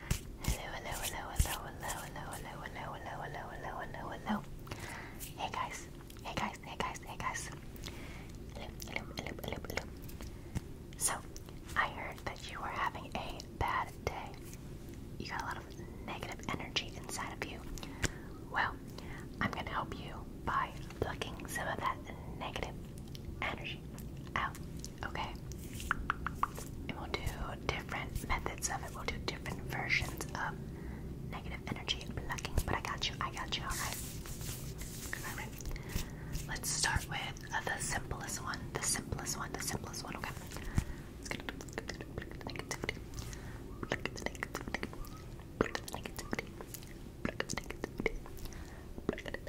Hello, hello, hello, hello, hello, hello, hello, hello, hello, hello, hello, hello, hello. Hey guys, hey guys, hey guys, hey guys. Hello, hello, hello, hello, hello. So, I heard that you are having a bad day. You got a lot of negative energy inside of you. Well, I'm gonna help you by plucking some of that negative energy out. Okay. And we'll do different methods of it. We'll do different versions of negative energy blocking. But I got you. I got you. All All right. Let's start with uh, the simplest one. The simplest one. The simplest one. Okay.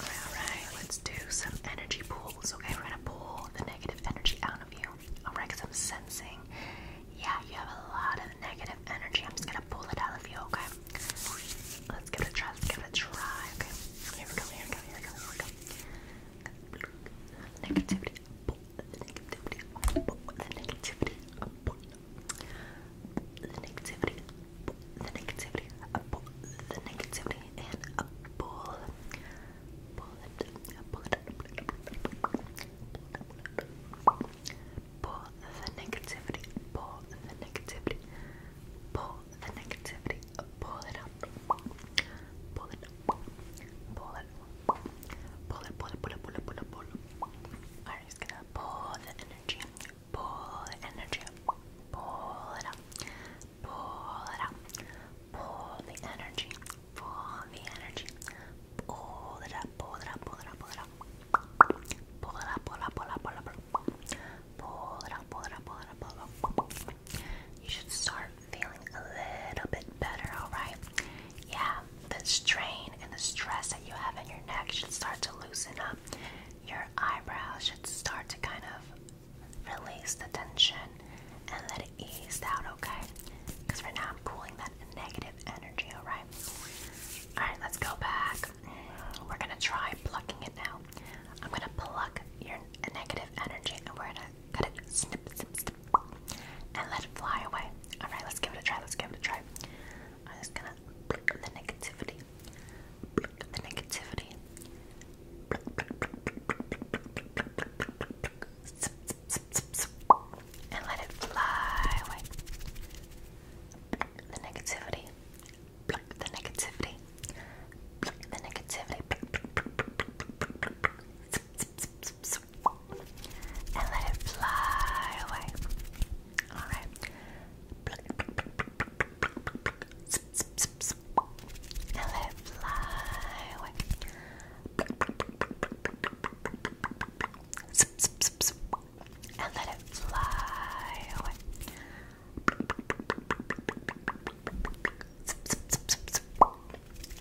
Alright, let's do some energy pulls. Okay, we're gonna pull the negative energy out of you. Alright, because I'm sensing, yeah, you have a lot of negative energy. I'm just gonna pull it out of you, okay? Let's give it a try, let's give it a try, okay? Here we go, here we go, here we go, here we go. Negativity, pull the negativity, pull the negativity, pull the negativity, pull the negativity, pull the negativity, it in a bowl. Pull it, pull it, pull the negativity, pull the negativity, pull the negativity, pull it up, pull it, pull it, pull it, pull it, pull it, pull it, pull it, pull it. I'm just gonna pull the energy, pull the energy, pull it up, pull it out. Pull the energy. Pull the energy. Pull it up. Pull it up. Pull it up. Pull it up. Pull it up. Pull it up. Pull up. Pull up. Pull it up. Pull it up. Pull it up. Pull it up. You should start feeling a little bit better. All right. Yeah. The strain and the stress that you have in your neck should start to loosen up. Your eyebrows should start to kind of Release the tension and let it ease out, okay? Because for now I'm pulling that negative energy, alright? Alright, let's go back. We're gonna try plucking it now. I'm gonna pluck your negative energy and we're gonna cut it, snip, snip, snip, and let it fly away. Alright, let's give it a try, let's give it a try. I'm just gonna the negativity Pluck the negativity. Pluck, pluck, pluck, pluck, pluck, pluck, pluck, pluck, pluck, pluck. Zip, zip, zip, zip. And let it fly away. Pluck the negativity. Pluck the negativity. Pluck the negativity. Pluck, pluck, pluck, pluck, pluck, pluck, pluck. Zip, zip, zip, zip, zip. And let it fly away. Alright. Pluck, pluck, pluck, pluck, pluck, now let it fly away.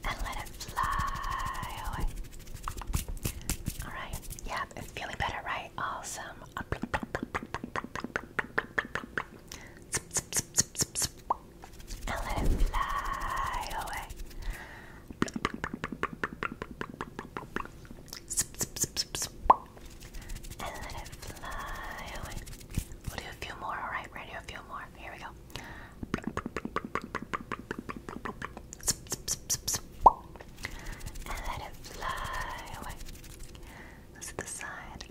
And let it fly away. And let it fly away. Alright, yeah, it's feeling better, right? Awesome and let it fly away. We'll do a few more, alright? we to a few more. Here we go. And let it fly away. This is the side.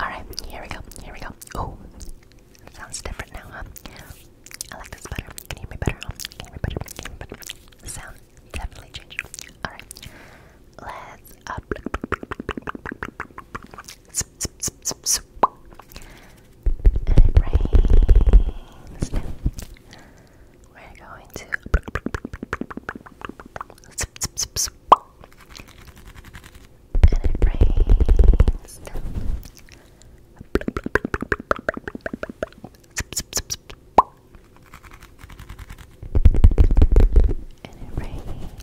Alright, here we go, here we go. Oh, sounds different now, huh? I like this better. Can you hear me better? Huh? Can you hear me better? Can better? sound definitely changed. Alright, let's up. It rains we're going to and it rains. And it rains.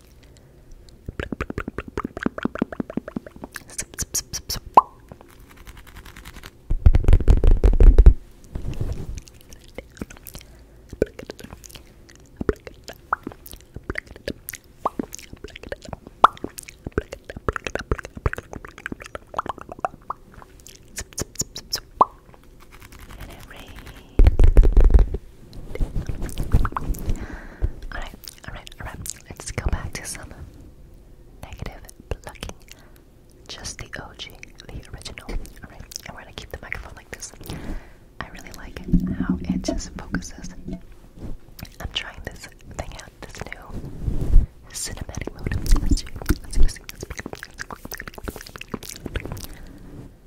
Let it rain. Alright, alright, alright. Let's go back to some negative plucking. Just the OG, the original. Alright, and we're gonna keep the microphone like this. I really like how it just focuses. I'm trying this thing out, this new cinematic mode. Let's see, let's see, let's see. let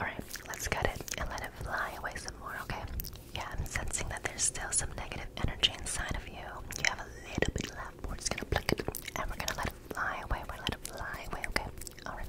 Alright, let's cut it and let it fly away some more, okay? Yeah, I'm sensing that there's still some negative energy inside of you. You have a little bit left. We're just gonna pluck it and we're gonna let it fly away. We're gonna let it fly away, okay? Alright.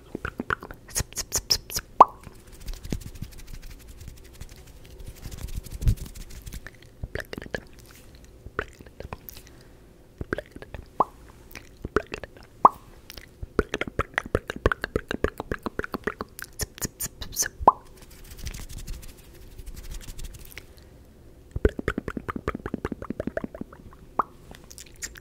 Zip,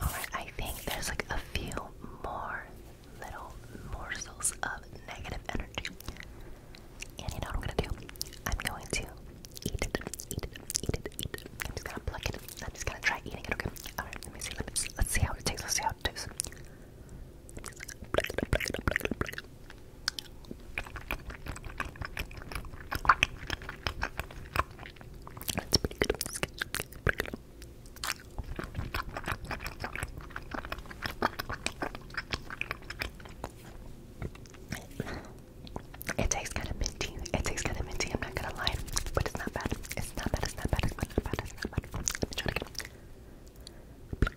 Alright, I think there's like a few more little morsels of negative energy. And you know what I'm gonna do? I'm going to eat it, eat it, eat it, eat it. I'm just gonna pluck it. I'm just gonna try eating it, okay? Alright, let me see. Let me Let's see how it tastes. Let's see how it does. That's pretty good. It tastes kind of minty. It tastes kind of minty. I'm not gonna lie, but it's not bad. It's not bad. It's not bad. It's not bad. It's not bad. Black.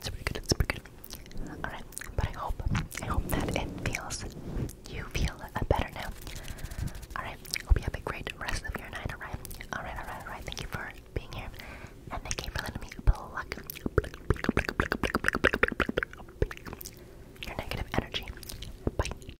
pretty good, it's pretty good. Alright, but I hope, I hope that it feels, you feel better now. Alright, hope you have a great rest of your night, alright? Alright, alright, alright, thank you for being here. And thank you for letting me pluck your negative energy. Bye.